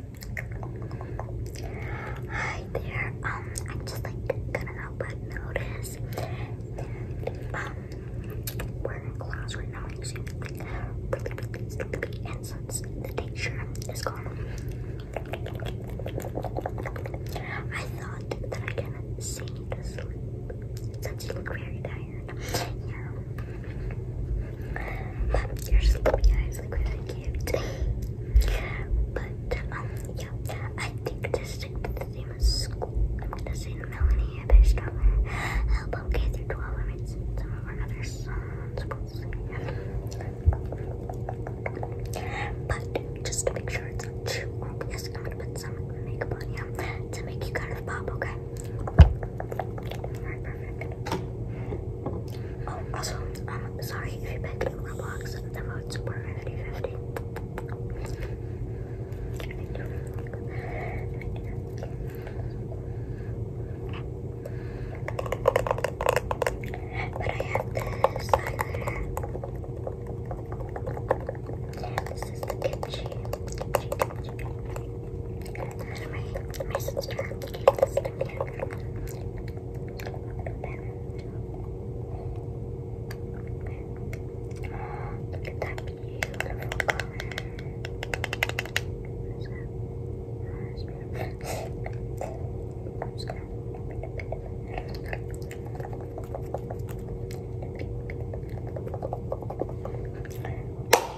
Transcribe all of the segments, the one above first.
Hi there. Um, I'm just like gonna help but notice um we're in class right now using like really really sticky incense. The texture is gone. I thought that I could see you to sleep but you look very tired. Yeah. Your sleepy eyes look really cute. But, um, yeah, I think to stick the theme of school, I'm gonna say Melanie based on her album K through 12. I mean, some of her other songs, but just to make sure it's not too obvious, I'm gonna put some makeup on you to make you kind of pop, okay? Alright, perfect. Oh, also, um, sorry if you pick in Roblox, the modes were 50 But I have this highlighter. This is the kimchi. My, my look at that beautiful color. Is that? Oh,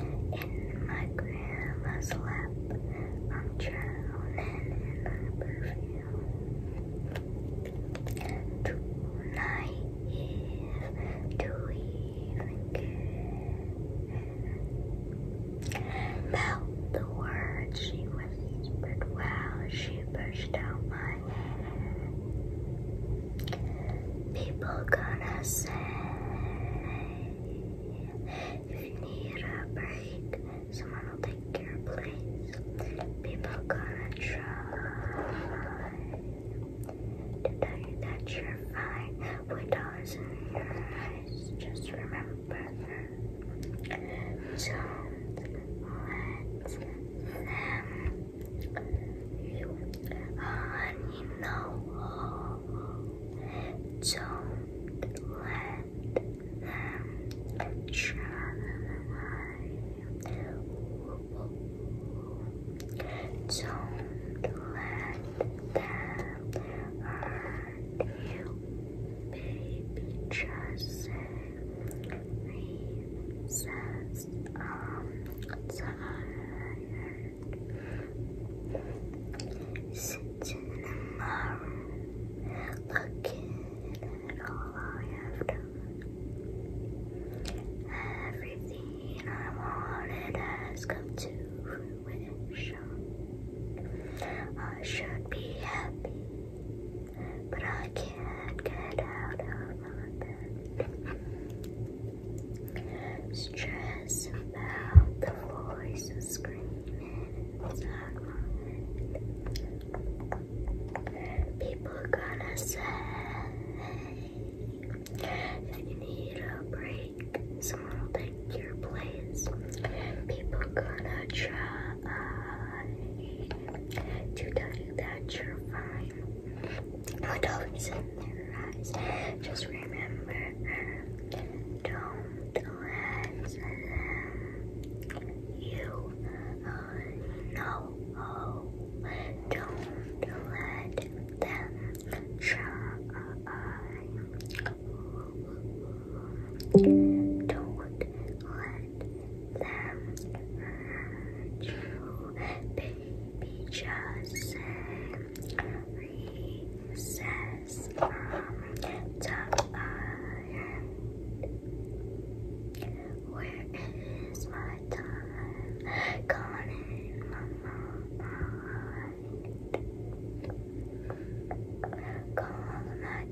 In my grandma's lap, I'm drowning in her perfume. Too naive to even care about the words she whispered while she pushed out my People gonna say if you need a break, someone will take care of things. People gonna try to tell you that you're fine with dollars in your eyes. Just remember that. So let them Honey, no, don't let them try. Don't let them hurt you, baby. Just say, sitting in looking at all I have done everything I wanted has come to fruition I should be happy but I can't get out of stress about the voice screaming inside People gonna say that you need a break. Someone will take your place. People gonna try to tell you that you're fine. Just remember, don't let them. You know. Oh, don't let them try. Don't let them true, baby just recess from the Where is my time gone in my mind? Gone, I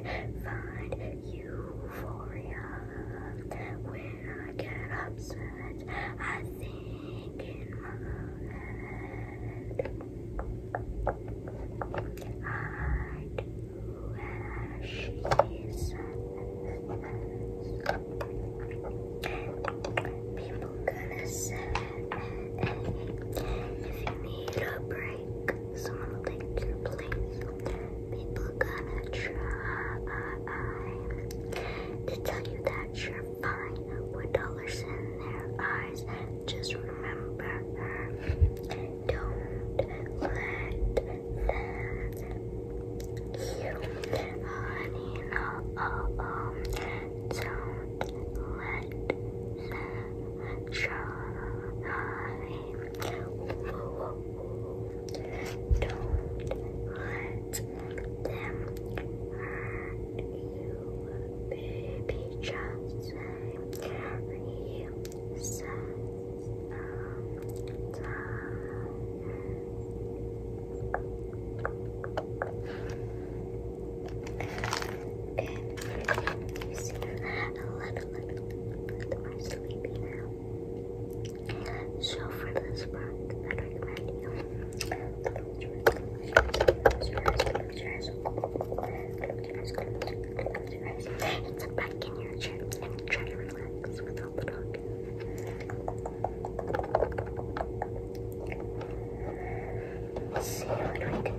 can't find you euphoria when I get upset. I think in my head. I do as she says. People gonna say if you need a break, someone will take your place people gonna try to tell you that you're fine with dollars in their eyes. Just remember, don't let them you, honey. No, oh, oh. don't let them try. Don't let them hurt you, baby. Just say you said sometimes. It's a little, little bit more sleepy now. So for this part, I recommend you close your eyes, close your back in your chair and try to relax without the dog. See what we can do.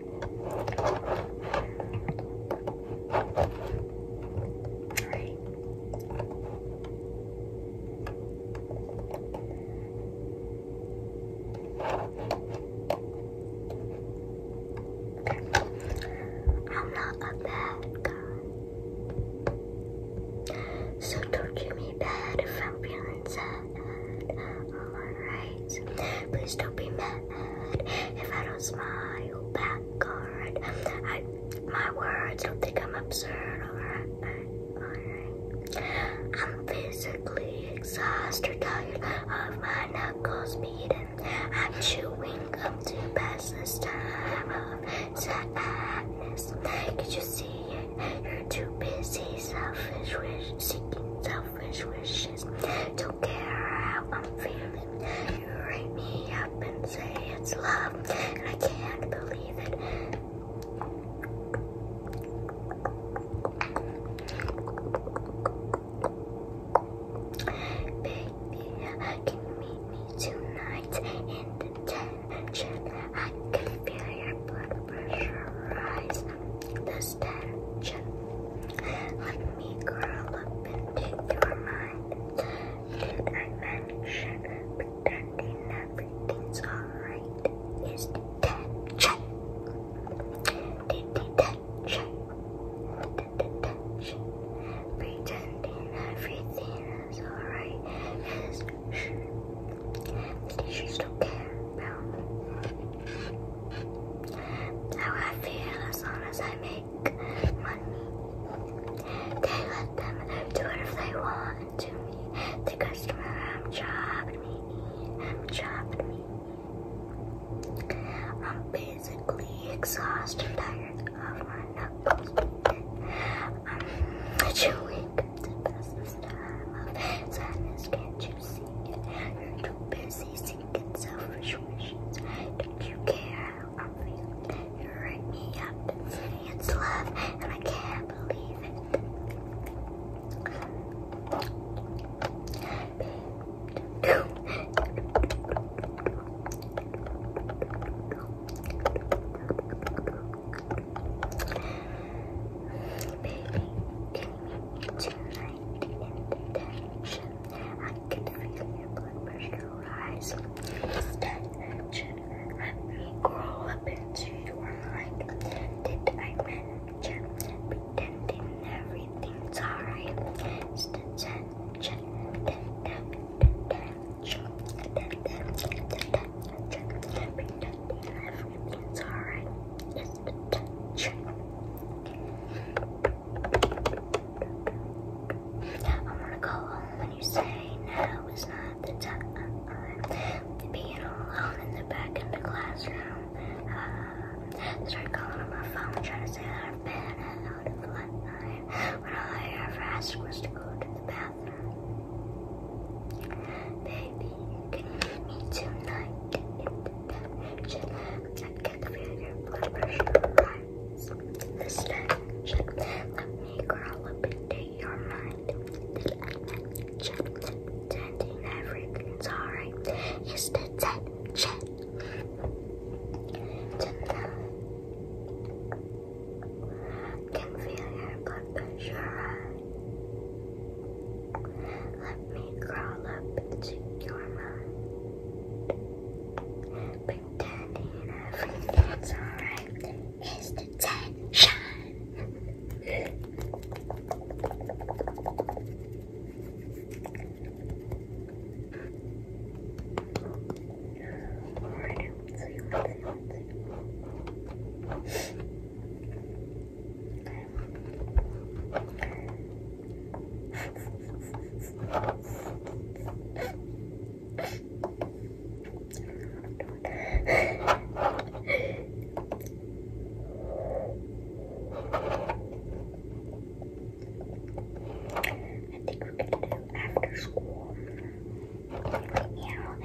I'm not a bad guy. So don't give me bad if I'm feeling alright? Please don't be mad if I don't smile back, alright? I, my words don't think I'm absurd, alright? Alright. I'm physically exhausted, tired of my knuckles beating. I'm chewing up to pass this time of sadness. Could you see it? You're too busy, selfish, wish seeking selfish wishes. Don't care how I'm feeling. You ring me up and say it's love, and I can't believe it. Baby, can meet me tonight in the tension? I can feel your blood pressure rise statue. Let me curl up into your mind. Did I mention pretending everything's alright is detention? detention? detention? Pretending everything is alright is shh. She still care build. I feel as long as I make money. They let them do it if they want to me. The customer I'm chopped me. I'm jobbed me. I'm basically exhausted, tired of my knuckles. I'm chewing the best of time sadness can't juicy you're too busy seeking self-assurances. Don't you care how I feel? You write me up. It's love and I can't believe it. Baby, take me to I can feel your blood pressure rise. I'm gonna grow up into your mind. Did I manage it? Pretending everything's alright. It's the tension. Tension. Tension. Tension. Pretending everything's alright. I'm gonna go home when you say now is not the time. Being alone in the back of the classroom. Uh, start calling on my phone, trying to say that I've been out of line. When all I ever asked was to go to the bathroom. Baby me tonight in the dungeon and your blood pressure rise. This let me crawl up into your mind. The dungeon, pretending everything's alright, is the dungeon. Tonight, can feel your blood pressure rise. Let me crawl up into your mind. Pretending everything's alright is the I think we're gonna do after school. Yeah.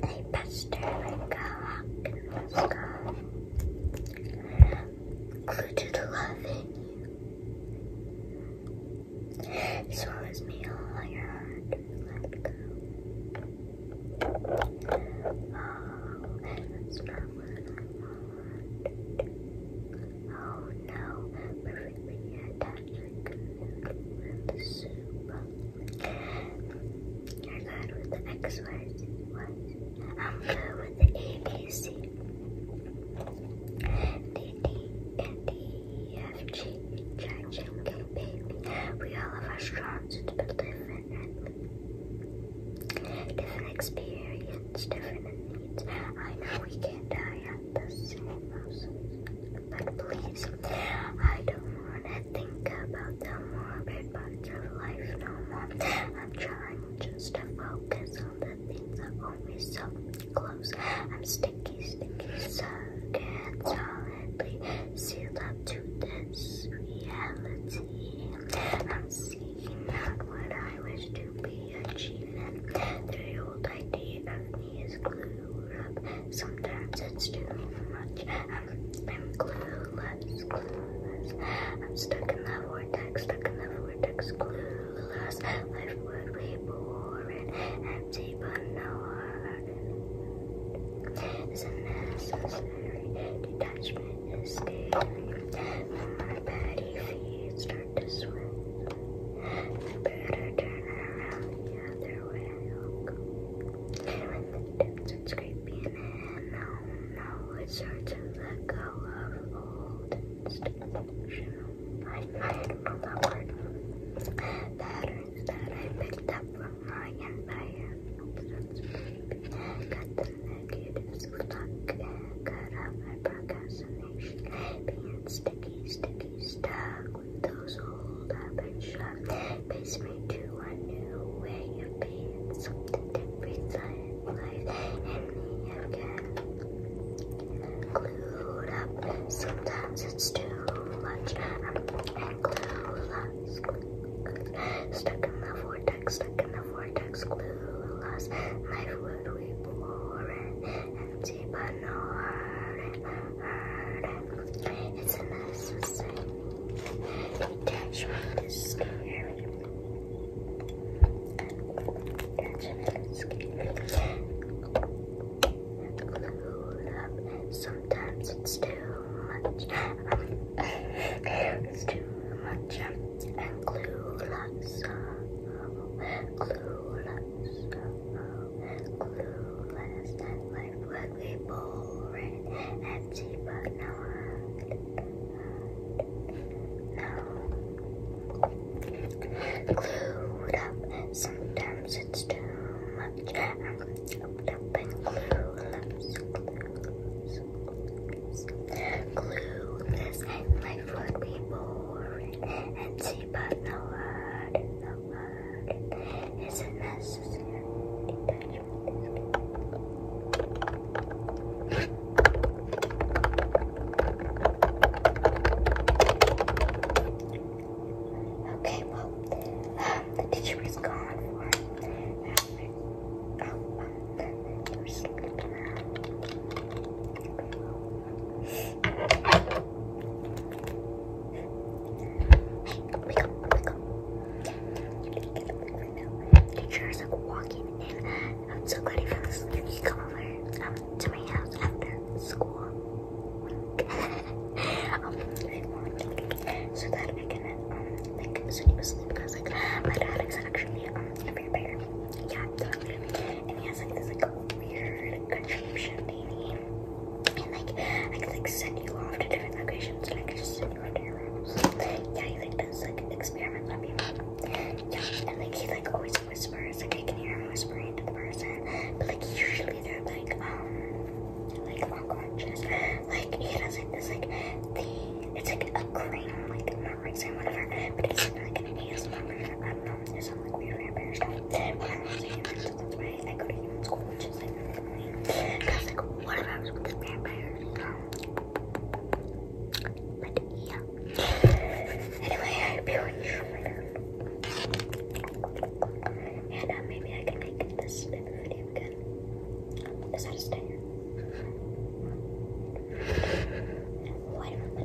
They pester like a hawk Clue to the love in you. Swallows me all your heart. Let go. Oh, that's not what I want with the soup. You're good with the X am good with the A, B, C, D, D, We all have our strong but different. Different experience, different needs. I know we can't die at the same houses, but please I don't wanna think about the morbid parts of life no more. I'm trying just to focus on the things that hold me so close. I'm sticky, sticky, stuck and solidly sealed up to this reality. I'm seeking out what I wish to be achieving. The old idea of me is glued Sometimes it's too much. I'm, I'm clueless, clueless. I'm stuck in the vortex, stuck in the vortex, clueless. Life would be boring, empty, but no heart. It's unnecessary. Detachment is scary. My petty feet start to swim. I better turn around the other way. With the tips it's creeping in. No, no, it's hard to let go of old institutional. patterns that I picked up from my empire. Got the negatives stuck and cut out my procrastination. Being sticky, sticky, stuck those household appetite pays me to a new way of being, something different in life, and me again. Glued up, sometimes it's too much, and clueless. Stuck in the vortex, stuck in the vortex, clueless. My food we pour empty, but no hurt, hurt. It's a mess with signing. Detachment is scary. Detachment is scary. Glued up. Sometimes it's too much. it's too much. And glued up. So, glued up. So clueless life would be boring, empty, but no No. Clued up, sometimes it's too much. I'm clued up and clueless. Clueless, clueless life would be boring, empty, but no word, work is a necessary Okay, well, um, the teacher is gone Oh, um, we sleeping now. Teacher is like walking in. I'm so glad he found this. You can over um, to my house after school. Um, so that I can um, like so you because like my dad is actually um, a vampire. Yeah, And he has like this like weird contraption baby. And like I can like send you off to different locations and I could just send you off to your house. Yeah, he like does like experiments on people. Yeah, and like he like always whispers, like I can hear him whispering to the person. But like usually they're like um like unconscious. Like he does like this like the It's like a cream, like not racing, whatever, but it's like an ASMR version. I don't know, it sounds like weird vampire stuff. But I'm not to right. I could even school, which is like the morning. And yeah. Anyway, I hope you enjoyed. And maybe I can make this video again. Is that a stinger? Wait a